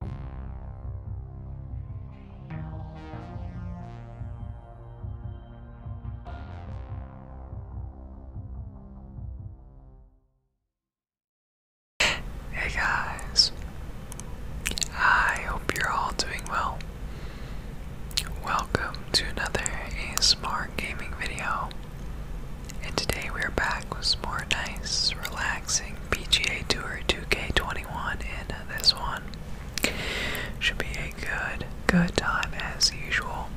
Hey guys, I hope you're all doing well. Welcome to another A Smart gaming video, and today we are back with more nice, relaxing PGA Tour 2K21 in this one. Should be a good, good time as usual.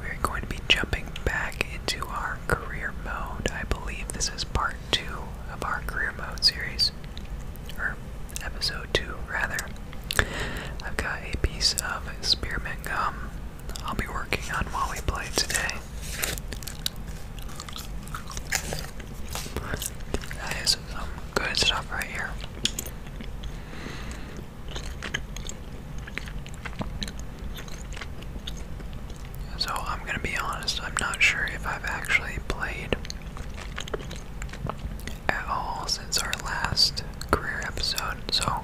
We're going to be jumping back into our career mode. I believe this is part two of our career mode series, or episode two, rather. I've got a piece of spearmint gum I'll be working on while we play today. That is some good stuff right here. So I'm gonna be honest, I'm not sure if I've actually played at all since our last career episode, so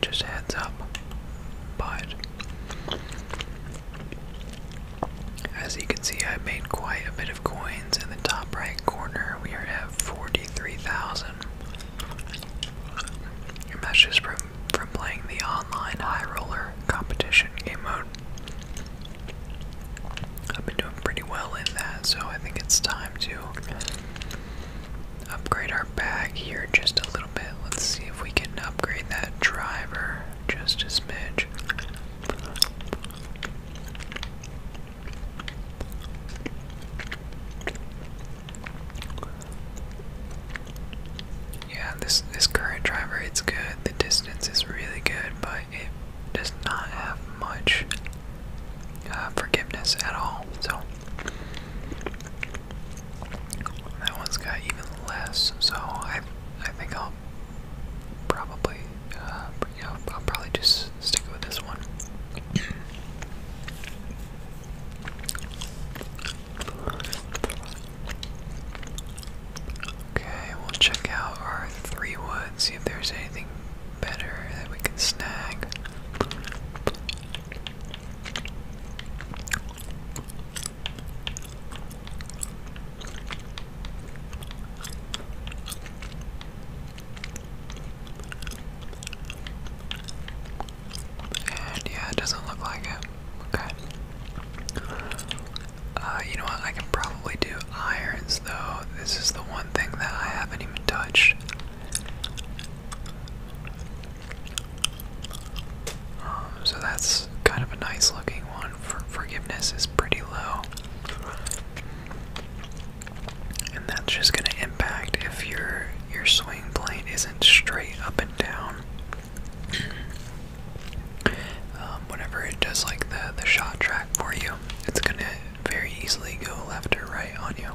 just heads up. But as you can see, I have made quite a bit of coins. In the top right corner, we are at 43,000. And that's just from, from playing the online high roller competition game mode. I've been doing pretty well in that, so I think it's time to upgrade our bag here just a little Let's see if we can upgrade that driver just a smidge. Yeah, this this current driver it's good. The distance is really good, but it does not have much uh, forgiveness at all. So that one's got even less, so I, I think I'll probably, uh, I'll probably just stick with this one. Okay, we'll check out our three wood, see if there's anything better that we can snag. And yeah, it doesn't look like it. Okay. Uh, you know what? I can probably do irons though. This is the one thing that I haven't even touched. Um, so that's kind of a nice looking one. forgiveness is pretty low. And that's just gonna impact if your your swing plane isn't straight up and down. Um, whenever it does like the the shot track for you, it's gonna very easily go left or right on you.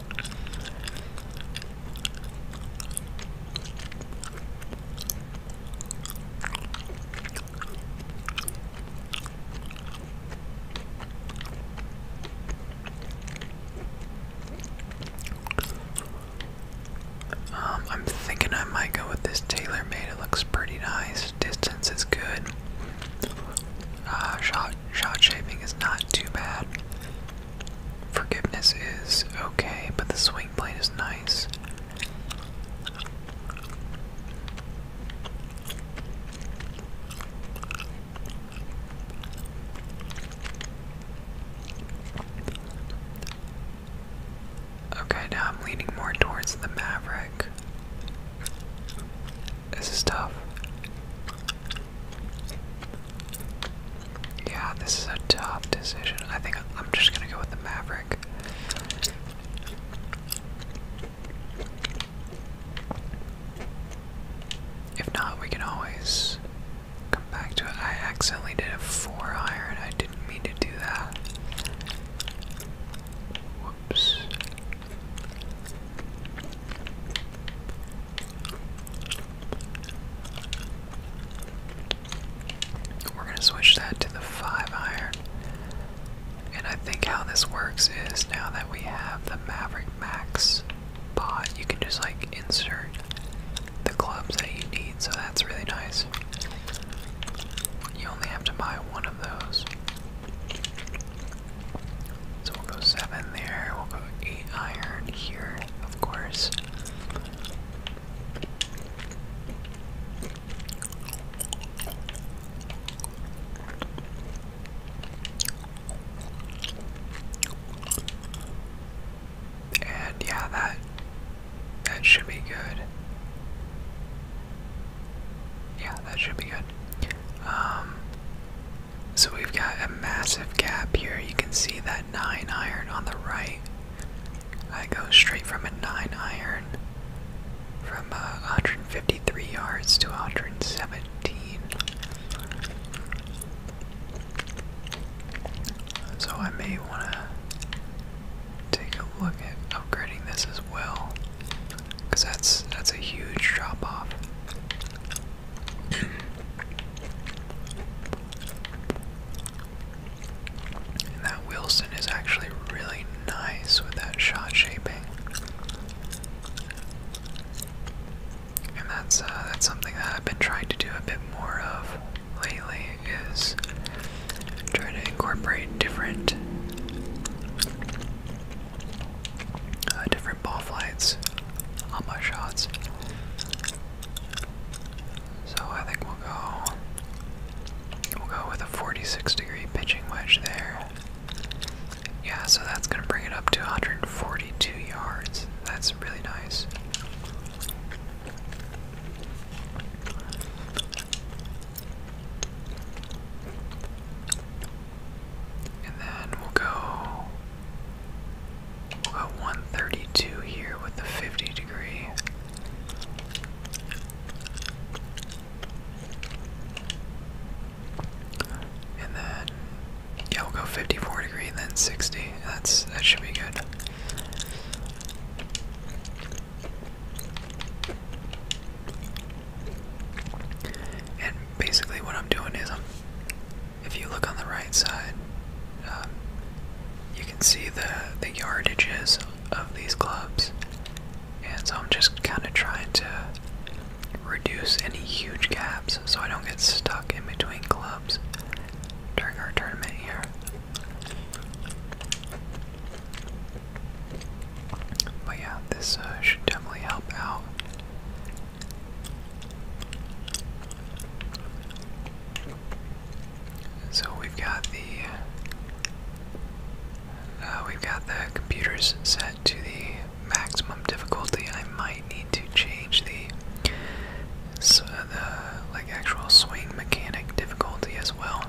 Um, I'm thinking I might go with this tailor made. It looks pretty nice. Distance is good. Uh, shot shot shaping is not too bad. Forgiveness is okay, but the swing the blade is nice. Okay, now I'm leaning more towards the Maverick. This is tough. Yeah, this is a tough decision. I think I'm just gonna go with the Maverick. If not, we can always come back to it. I accidentally did a four iron. I didn't mean to do that. Whoops. We're going to switch that to the 5 iron. And I think how this works is now that we have the Maverick Max pot, you can just like insert the clubs that you need, so that's really nice. You only have to buy one of those. So we'll go 7 there, we'll go 8 iron here, of course. And yeah, that that should be good. Yeah, that should be good. Um, so we've got a massive gap here. You can see that 9 iron on the right. I go straight from a 9 iron from uh, 153 yards to 117. So I may want to take a look at upgrading this as well, because that's that's a huge drop off that Wilson is actually really nice with that shot shaping. And that's uh, that's something that I've been trying to do a bit more of lately is trying to incorporate different uh, different ball flights on my shots. So I think we'll go we'll go with a 46 degree pitching wedge there. Yeah, so that's gonna bring it up to 142 yards. That's really nice. And then we'll go about 132 here with the 50 degree. And then, yeah, we'll go 54 degree then 60. That's That should be good. And basically, what I'm doing is I'm if you look on the right side, um, you can see the the yardages of these clubs, and so I'm just kind of trying to reduce any huge gaps so I don't get stuck in between clubs during our tournament here. But yeah, this uh, should definitely help out so we've got the uh, we've got the computers set to the maximum difficulty. I might need to change the so uh, the like actual swing mechanic difficulty as well,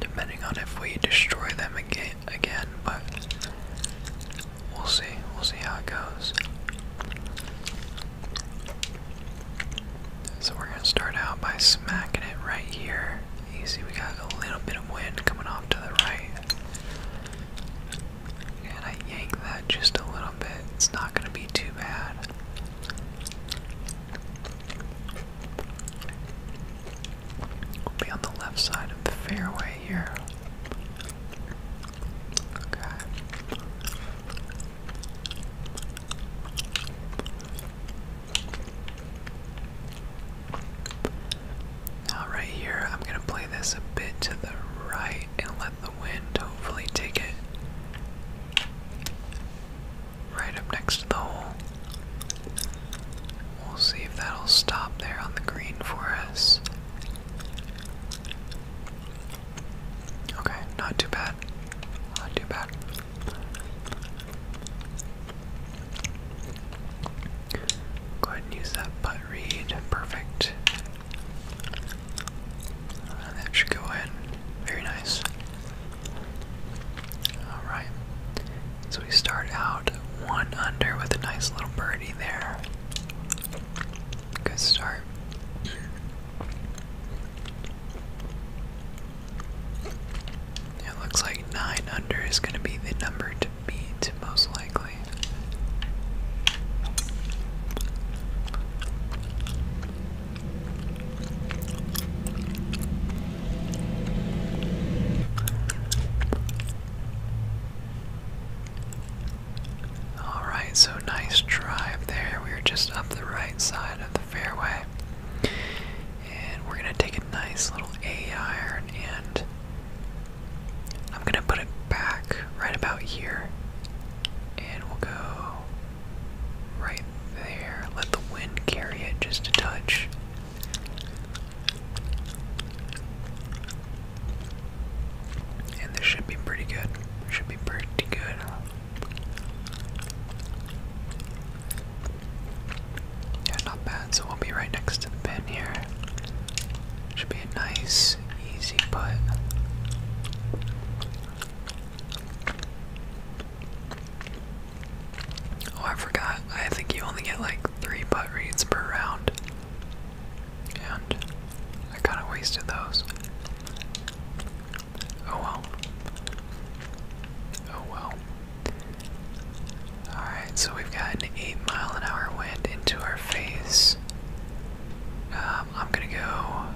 depending on if we destroy them again again, but we'll see. We'll see how it goes. So we're gonna start out by smacking it right here. You see, we got a little bit of wind coming off to the right. And I yank that just a little bit. It's not gonna be too bad be on the left side of the fairway here. Okay. Now, right here, I'm going to play this a bit to the right and let the wind hopefully take it right up next to the hole. We'll see if that'll stop there on the green for us. Okay, not too bad. Not too bad. Go ahead and use that butt read. Perfect. Uh, that should go in. Very nice. Alright. So we start out one under with a nice little birdie there. Good start. It looks like 9 under is going to be the number to beat, most likely. Alright, so nice drive there. We are just up the right side of the fairway. And we're gonna take a nice little A iron and I'm gonna put it back right about here. And we'll go right there. Let the wind carry it just a touch. And this should be pretty good. Should be pretty good. Yeah, not bad. So we'll be right next to the pin here. Should be a nice, easy putt. Oh, I forgot. I think you only get like three putt reads per round. And I kind of wasted those. Oh well. Oh well. Alright, so we've got an 8 mile an hour wind into our face. Um, I'm gonna go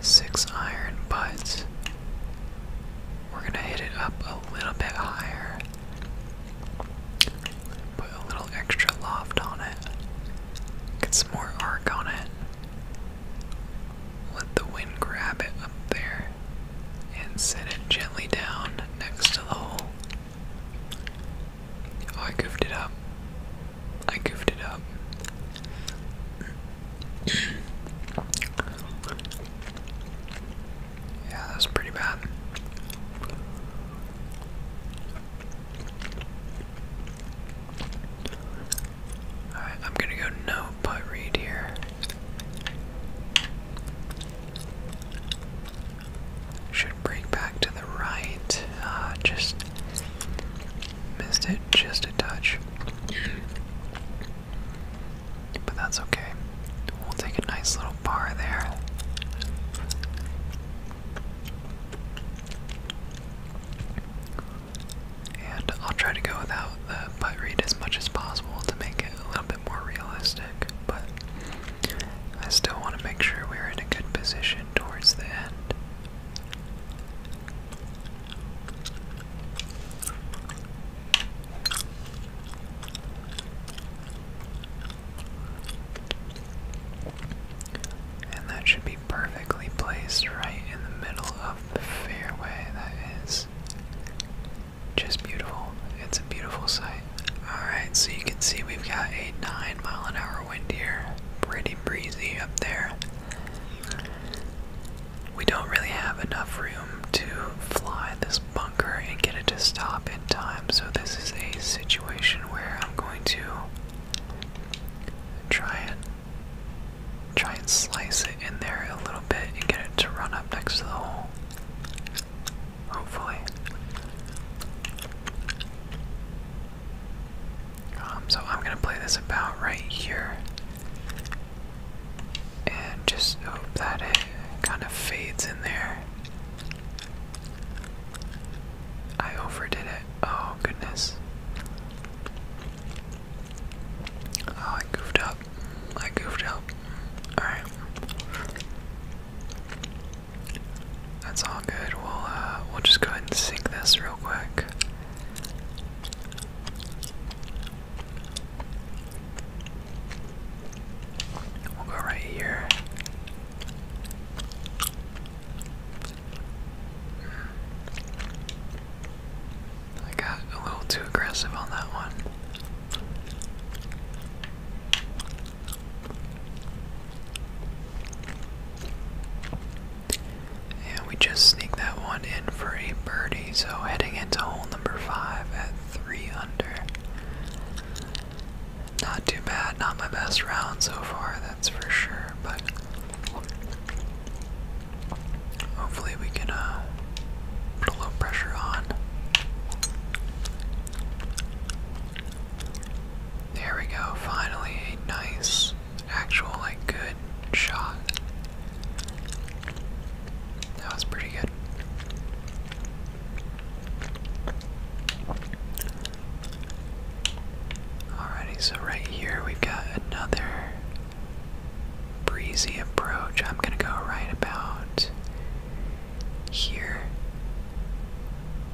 6 iron, but we're gonna hit it up a little bit higher. Put a little extra loft on it. Get some more arc on it. Let the wind grab it up there and set it gently down next to the hole. Oh, I goofed it up. I goofed it up. Yeah, that's pretty bad. Alright, I'm gonna go no putt read here. Should break back to the right. Ah, just missed it just a touch but that's okay. We'll take a nice little bar there. And I'll try to go without the butt read as much as possible to make it a little bit more realistic, but I still want to make sure we're in a good position towards the end. And that should be perfectly placed right in the middle of the fairway. That is just beautiful. It's a beautiful sight. Alright, so you can see we've got a 9 mile an hour wind here. Pretty breezy up there. We don't really have enough room to fly this bunker and get it to stop in time. So this is a situation where I'm going to try and try and slice it in there a little bit and get it to run up next to the hole. Hopefully. Um, so I'm gonna play this about right here and just hope that it kind of fades in there I overdid it. Oh, goodness. Oh, I goofed up. I goofed up. Alright. That's all good. We'll, uh, we'll just go ahead and sink this real quick. We'll go right here. I got a little too aggressive on that one. And we just sneak that one in for a birdie, so heading into hole number five at three under. Not too bad, not my best round so far, that's for sure, but hopefully we can uh, put a little pressure on. There we go, finally a nice, actual, like, good shot. That was pretty good. Alrighty, so right here we've got another breezy approach. I'm gonna go right about here.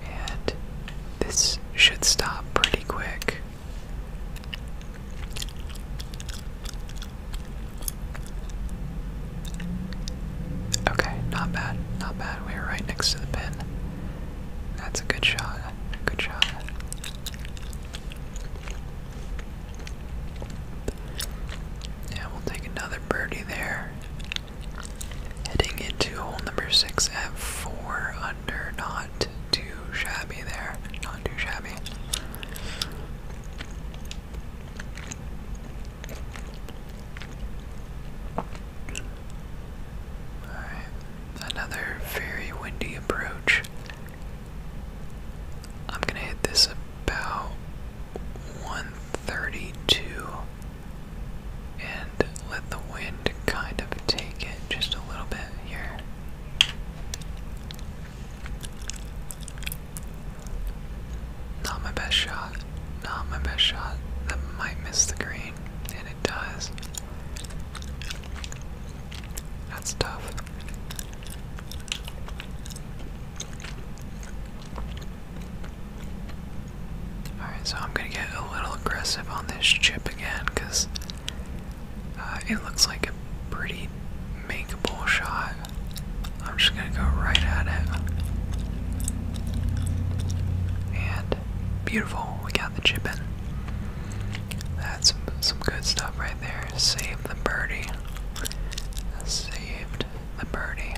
And this should stop pretty quick. Okay, not bad, not bad. We were right next to the pin. That's a good shot. Good shot. Yeah, we'll take another birdie there. Heading into hole number six at four under. Not too shabby there. Not too shabby. Alright, another very windy approach. I'm gonna hit this about 132 and let the wind kind of take it just a little bit here. Not my best shot. Not my best shot. That might miss the green, and it does. That's tough. Alright, so I'm gonna get a little aggressive on this chip again because uh, it looks like a pretty makeable shot. I'm just gonna go right at it. And beautiful, we got the chip in. That's some, good stuff right there. Save the birdie. Saved the birdie.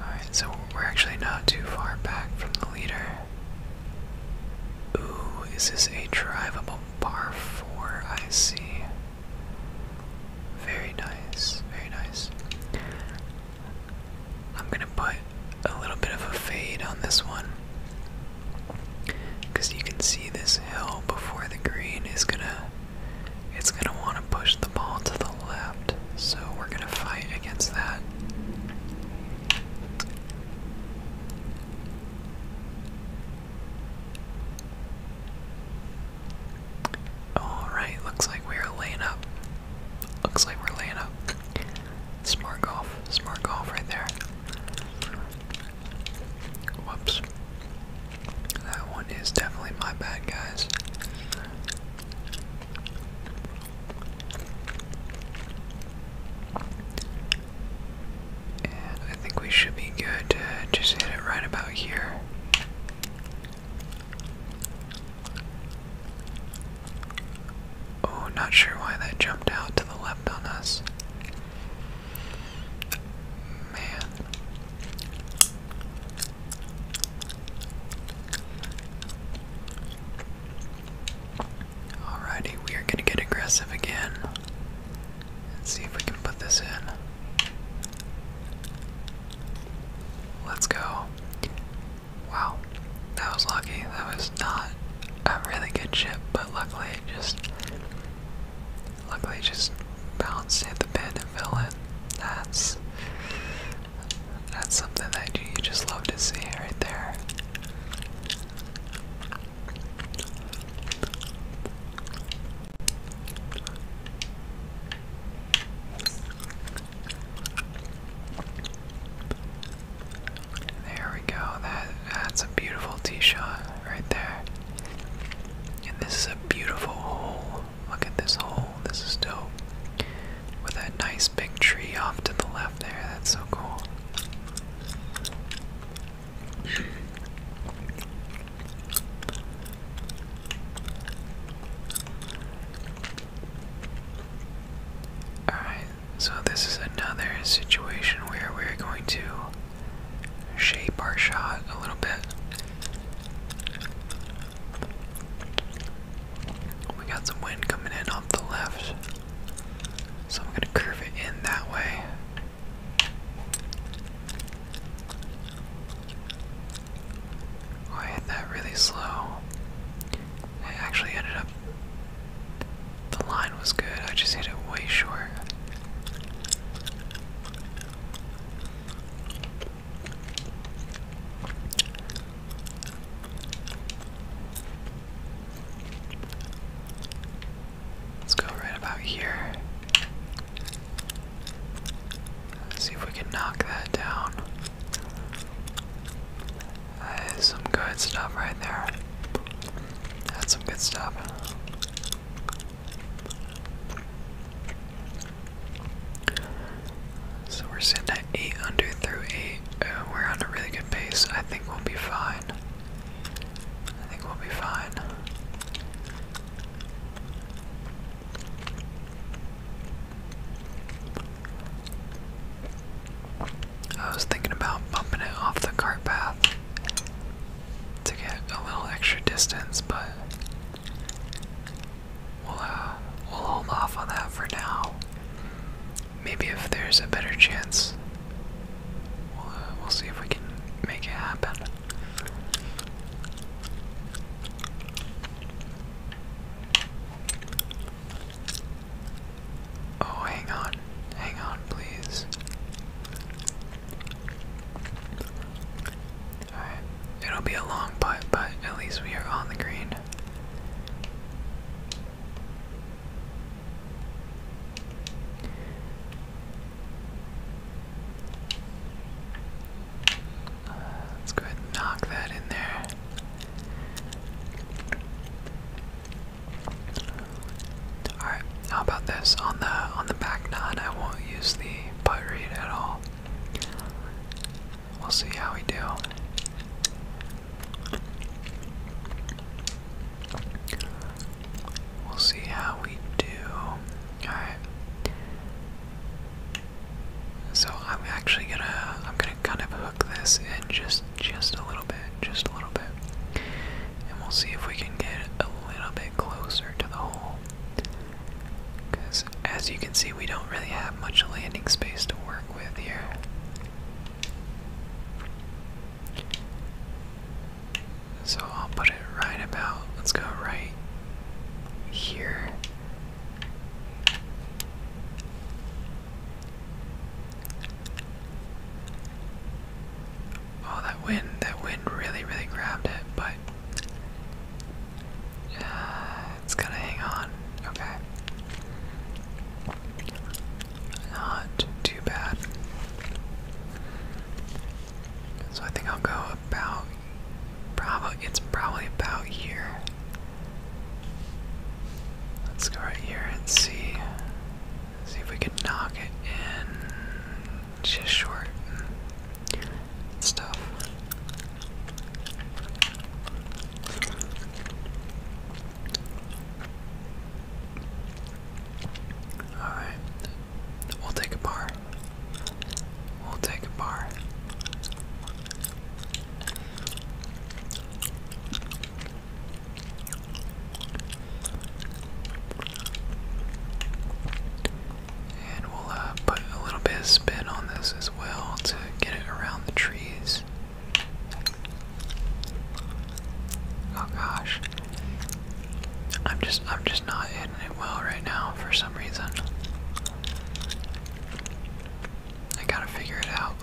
Alright, so we're actually not too far back from the leader. Ooh, is this a drivable par 4? I see. Very nice, very nice. I'm gonna put a little bit of a fade on this one. Because you can see this hill before the green is gonna. It's gonna want to push the ball to the left, so we're gonna fight against that. Alright, looks like we're laying up. Looks like we're laying up. Smart golf. Smart golf right there. Whoops. That one is definitely my bad, guys. I think we should be good just hit it right about here. Oh, not sure why that jumped out to the left on us. Man. Alrighty, we are gonna get aggressive again. Let's see if we can put this in. Let's go. Wow, that was lucky. That was not a really good chip, but luckily just luckily just bounced, hit the pin, and fell in. That's that's something that you just love to see right there. There we go. That that's a beautiful tee shot right there. And this is a beautiful hole. Look at this hole. This is dope. With that nice big tree off to the left there. That's so cool. Alright, so this is another situation where we're going to shape our shot a little bit. We got some wind coming in off the left. So I'm going to curve it in that way. Oh, I hit that really slow. I actually ended up. The line was good, I just hit it way short. Let's go right about here. see if we can knock that down. That is some good stuff right there. That's some good stuff. So we're sitting at 8 under through 8. Uh, we're on a really good pace. I think we'll be fine. I think we'll be fine. I was thinking about bumping it off the cart path to get a little extra distance, but we'll, uh, we'll hold off on that for now maybe if there's a better chance, uh, we'll, see if we can make it happen. Oh, hang on, hang on, please. Alright, it'll be a long putt, but at least we are on the green. Uh, let's go ahead and knock that in there. Alright, how about this? On the on the back nine I won't use the putt read at all. We'll see how we do. We'll see how we do. Alright. So I'm actually gonna I'm gonna kind of hook this in just just a little bit, just a little bit. And we'll see if we can get a little bit closer to the hole. Because as you can see we don't really have much landing space to work so I'll put it right about, let's go right here. Oh, that wind, that wind really, really grabbed it, but uh, it's gonna hang on. Okay. Not too bad. So I think I'll go about probably it's probably about here. Let's go right here and see see if we can knock it in just short and stuff. Alright, we'll take a bar. We'll take a bar. And we'll uh, put a little bit of spin on this as well to get it around the trees. Oh gosh. I'm just I'm just not hitting it well right now for some reason. I gotta figure it out.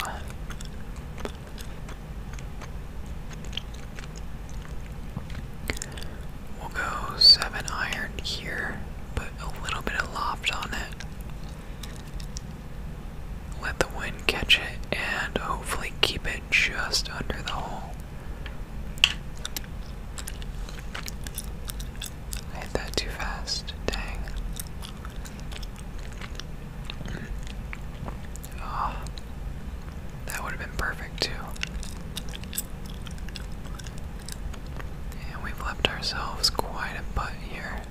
We'll go seven iron here, put a little bit of loft on it. Let the wind catch it and hopefully keep it just under the hole. hit that too fast. Dang. Oh, that would have been perfect too. And we've left ourselves quite a butt here.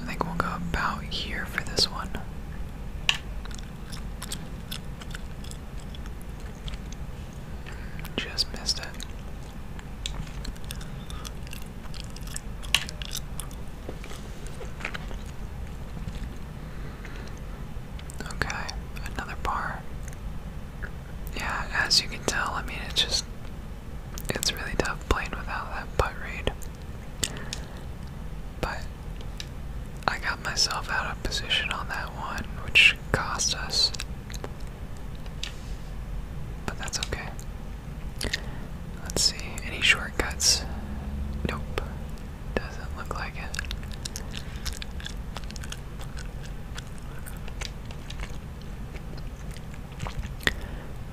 I think we'll go about here for this one. Just missed it. Okay, another bar yeah, as you can tell, I mean, it's just, it's really tough playing without that putt read. But I got myself out of position on that one, which cost us. But that's okay. Let's see, any shortcuts? Nope, doesn't look like it.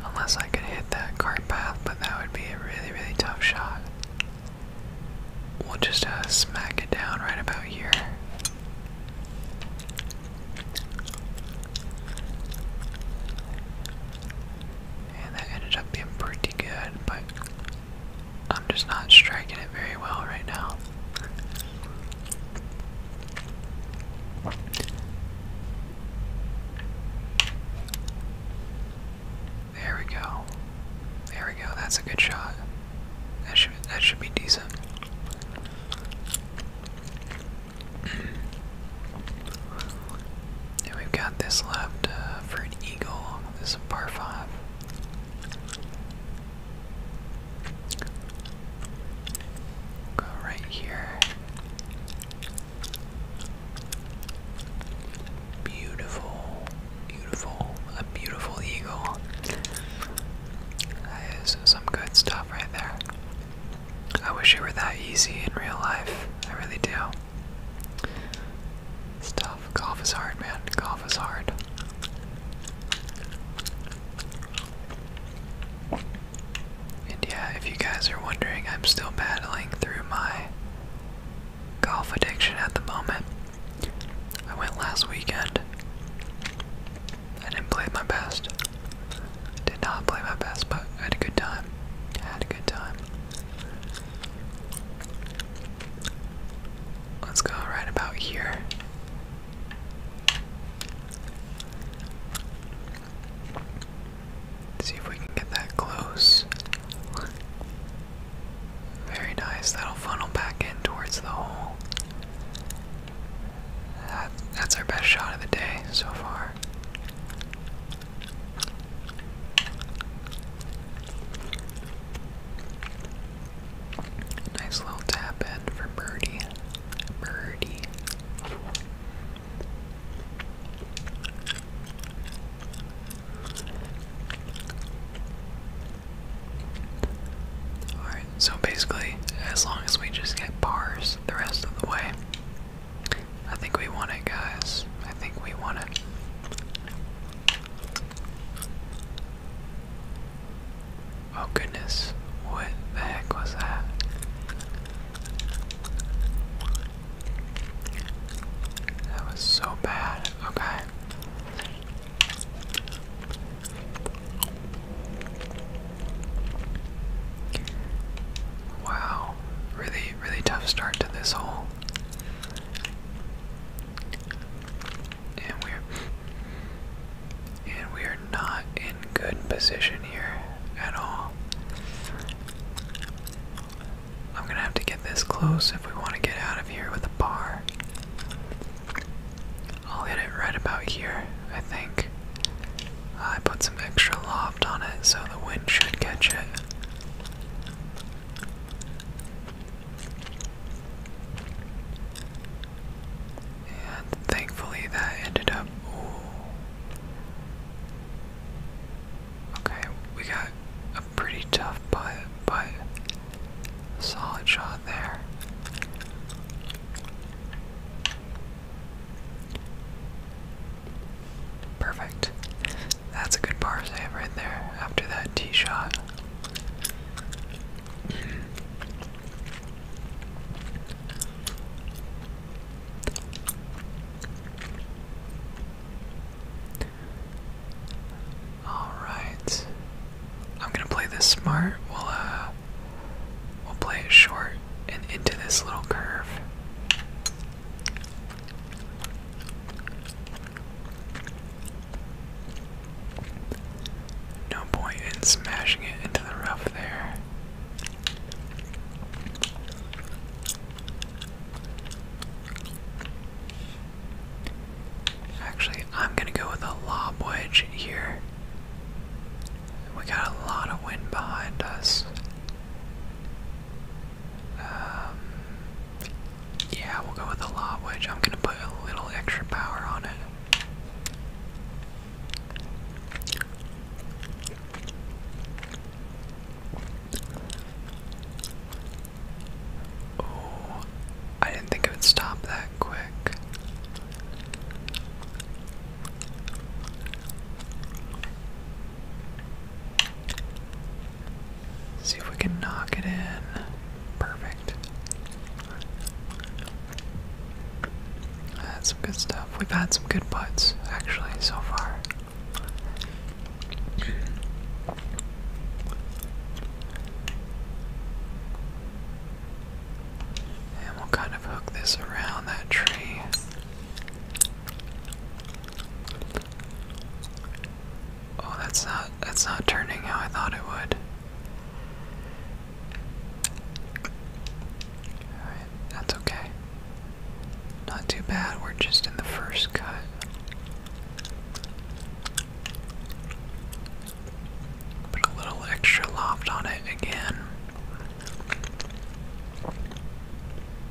Unless I could hit that cart path, but that would be a really, really tough shot. We'll just uh, smack it down right about here. And that ended up being pretty good, but I'm just not striking it very well right now. There we go. There we go. That's a good shot. That should that should be decent. and we've got this left uh, for an eagle. This is a par five. Go right here. Beautiful, beautiful, a beautiful eagle. That is some good stuff right there. I wish it were that easy in real life. I really do. Stuff. Golf is hard, man. Golf is hard. And yeah, if you guys are wondering, I'm still battling through my golf addiction at the moment. I went last weekend. I didn't play my best. Did not play my best, but I had a good time. I had a good time. Let's go right about here see if we can get that close. Very nice. That'll funnel back in towards the hole. that's our best shot of the day so far. Nice little tap in for birdie. Birdie. Alright, so basically, as long as we just get bars the rest of the way, I think we won it, guys. I think we won it. Oh goodness, what the heck was that? That was so bad. Okay. Wow, really, really tough start to this hole. And we're and we are not in good position here at all. I'm gonna have to get this close if we want to get out of here with a bar. I'll hit it right about here, I think. I put some extra loft on it so the wind should catch it. And thankfully that ended up. Okay, we got a pretty tough putt, but solid shot there. Perfect. That's a good par save right there after that tee shot. All right. I'm gonna play this smart. We'll uh, we'll play it short and into this little curve. No point in smashing it into the rough there. Actually, I'm gonna go with a lob wedge here. We got a lot of wind behind us. Um, yeah, we'll go with a lob wedge. I'm gonna put a little extra power on it. Oh, I didn't think it would stop that quick. See if we can knock it in. Perfect. That's good stuff. We've had some good putts, actually, so far. And we'll kind of hook this around that tree. Oh, that's not that's not turning how I thought it would that's okay. Not too bad, we're just in the first cut. Put a little extra loft on it again.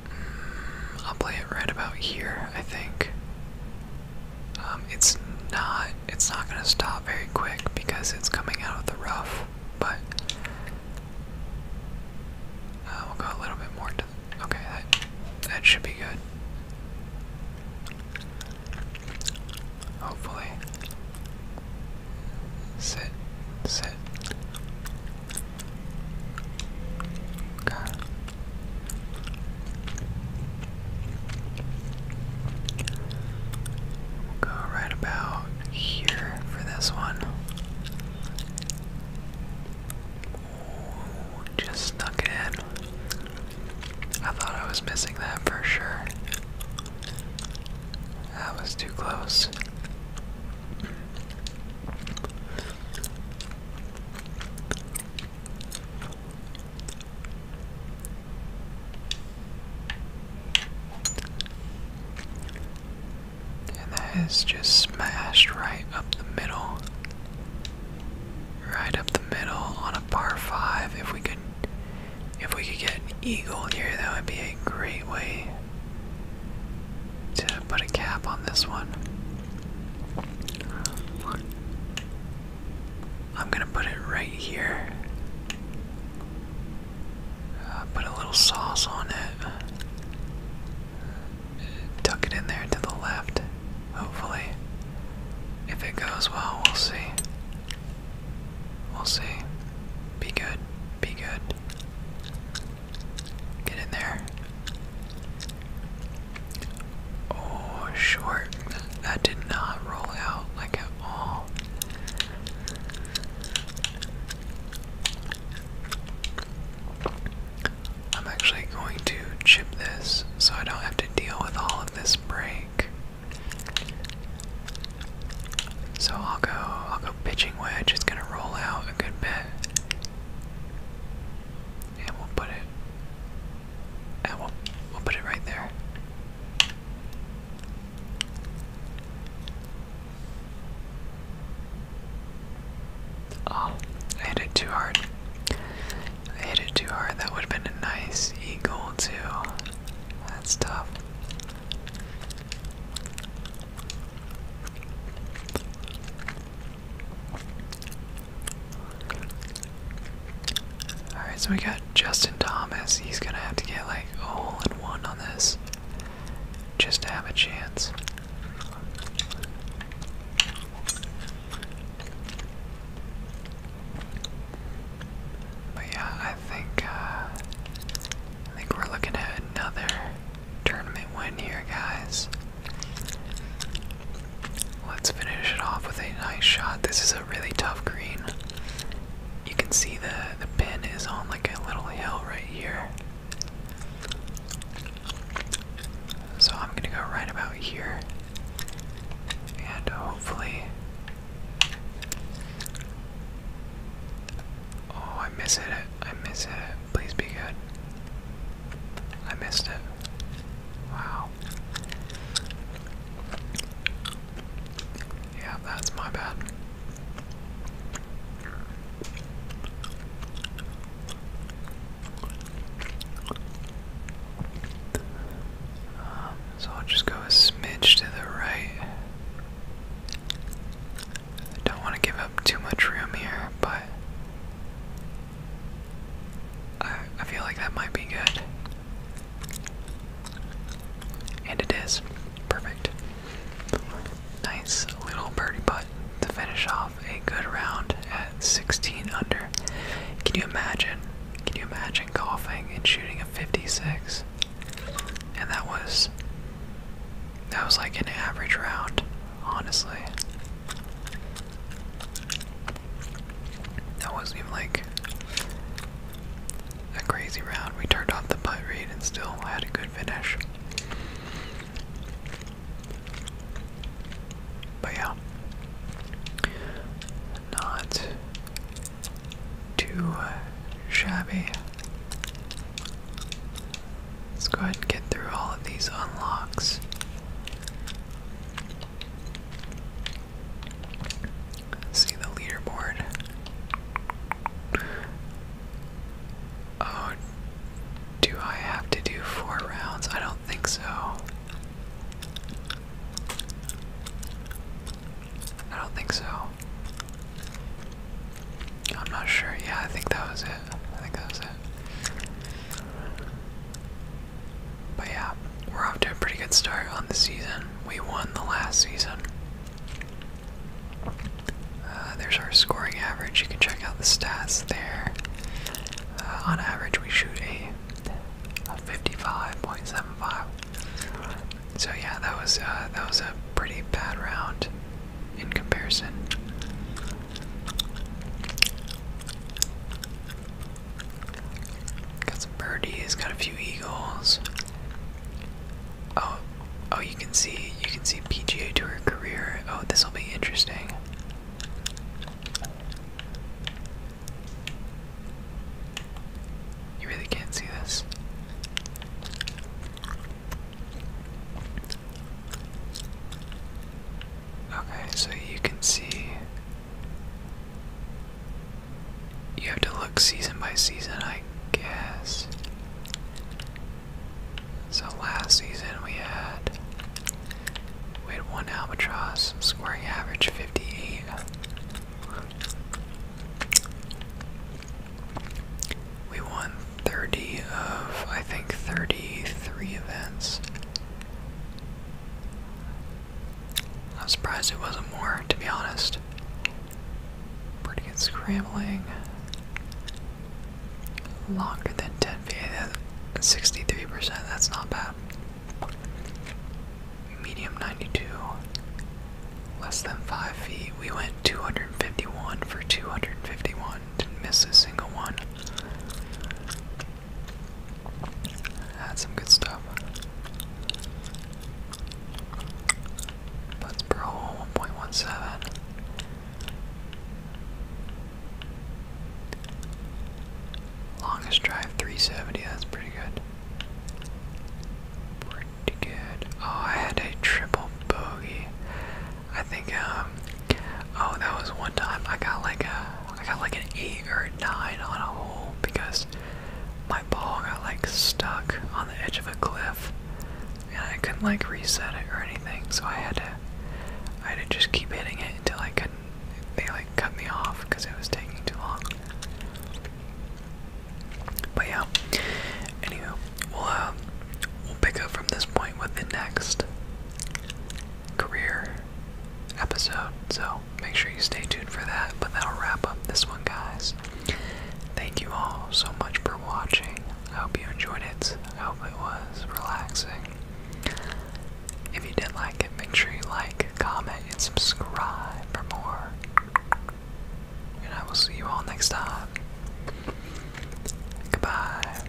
Mm, I'll play it right about here, I think. Um, it's not it's not going to stop very quick because it's coming out of the rough, but uh, we'll go a little bit more Okay, that, that should be good. Hopefully. Sit, sit. Okay go right about here for this one. just snuck it in. I thought I was missing that for sure. That was too close. And that is just smashed right up the middle. Right up the middle on a par five. If we could if we could get an eagle here, that would be a great way to put a cap on this one. I'm gonna put it right here. Uh, put a little sauce on it. Tuck it in there to the left, hopefully. If it goes well, we'll see. We'll see. Be good. Be good. Get in there. Oh, short. That did not roll out like at all. I'm actually going to chip this so I don't have to deal with all of this break. So I'll go I'll go pitching wedge, it's gonna roll out a good bit and we'll put it and we'll we'll put it right there. Oh, I hit it too hard. I hit it too hard. That would have been a nice eagle too. That's tough. Alright, so we got Justin Thomas. He's gonna have to get like a hole in one on this just to have a chance. But yeah, I think uh, I think we're looking at another tournament win here, guys. Let's finish it off with a nice shot. This is a really tough green. You can see the, the pin is on like a little hill right here. So I'm gonna go right about here. And hopefully. Oh, I missed it. I missed it. Please be good. I missed it. Wow. Yeah, that's my bad. Um, so I'll just go a smidge to the right. don't want to give up too much room here, but I, feel like that might be good. And it is. Perfect. Nice little birdie putt to finish off a good round at 16 under. Can you imagine? Can you imagine golfing and shooting a 56? And that was that was like an average round, honestly. That wasn't even like a crazy round. We turned off the putt read and still had a good finish. But yeah, not too uh, shabby. Let's go ahead and get through all of these unlocks. See the leaderboard. Oh, do I have to do four rounds? I don't think so. I don't think so. I'm not sure. Yeah, I think that was it. I think that was it. But yeah, we're off to a pretty good start on the season. We won the last season. Uh, there's our scoring average. You can check out the stats there. Uh, on average, we shoot a, 55.75. So yeah, that was uh, that was a pretty bad round in comparison. Got some birdies, got a few eagles. Oh, oh, you can see, you can see PGA Tour career. Oh, this will be interesting. You really can't see this. Okay, so you can see you have to look season by season, I guess. So last season we had we had one albatross scoring average 58. We won 30 of I think 33 events. I'm surprised it wasn't more, to be honest. Pretty good scrambling. Longer than 10 feet. 63%. That's not bad. Medium 92. Less than 5 feet. We went 251 for 251. Didn't miss a single one. That's some good stuff. let per hole 1.17. Longest drive 370, that's pretty good. Pretty good. Oh, I had a triple bogey. I think um Oh, that was one time I got like a, I got like an eight or a nine on a hole because my ball got like stuck on the edge of a cliff, and I couldn't like reset it or anything. So I had to, I had to just keep hitting it until I couldn't. They like cut me off because it was taking too long. But yeah. Anywho, we'll uh, we'll pick up from this point with the next career episode, so make sure you stay tuned for that. But that'll wrap up this one, guys. Thank you all so much for watching. I hope you enjoyed it. I hope it was relaxing. If you did like it, make sure you like, comment, and subscribe for more. And I will see you all next time. Goodbye.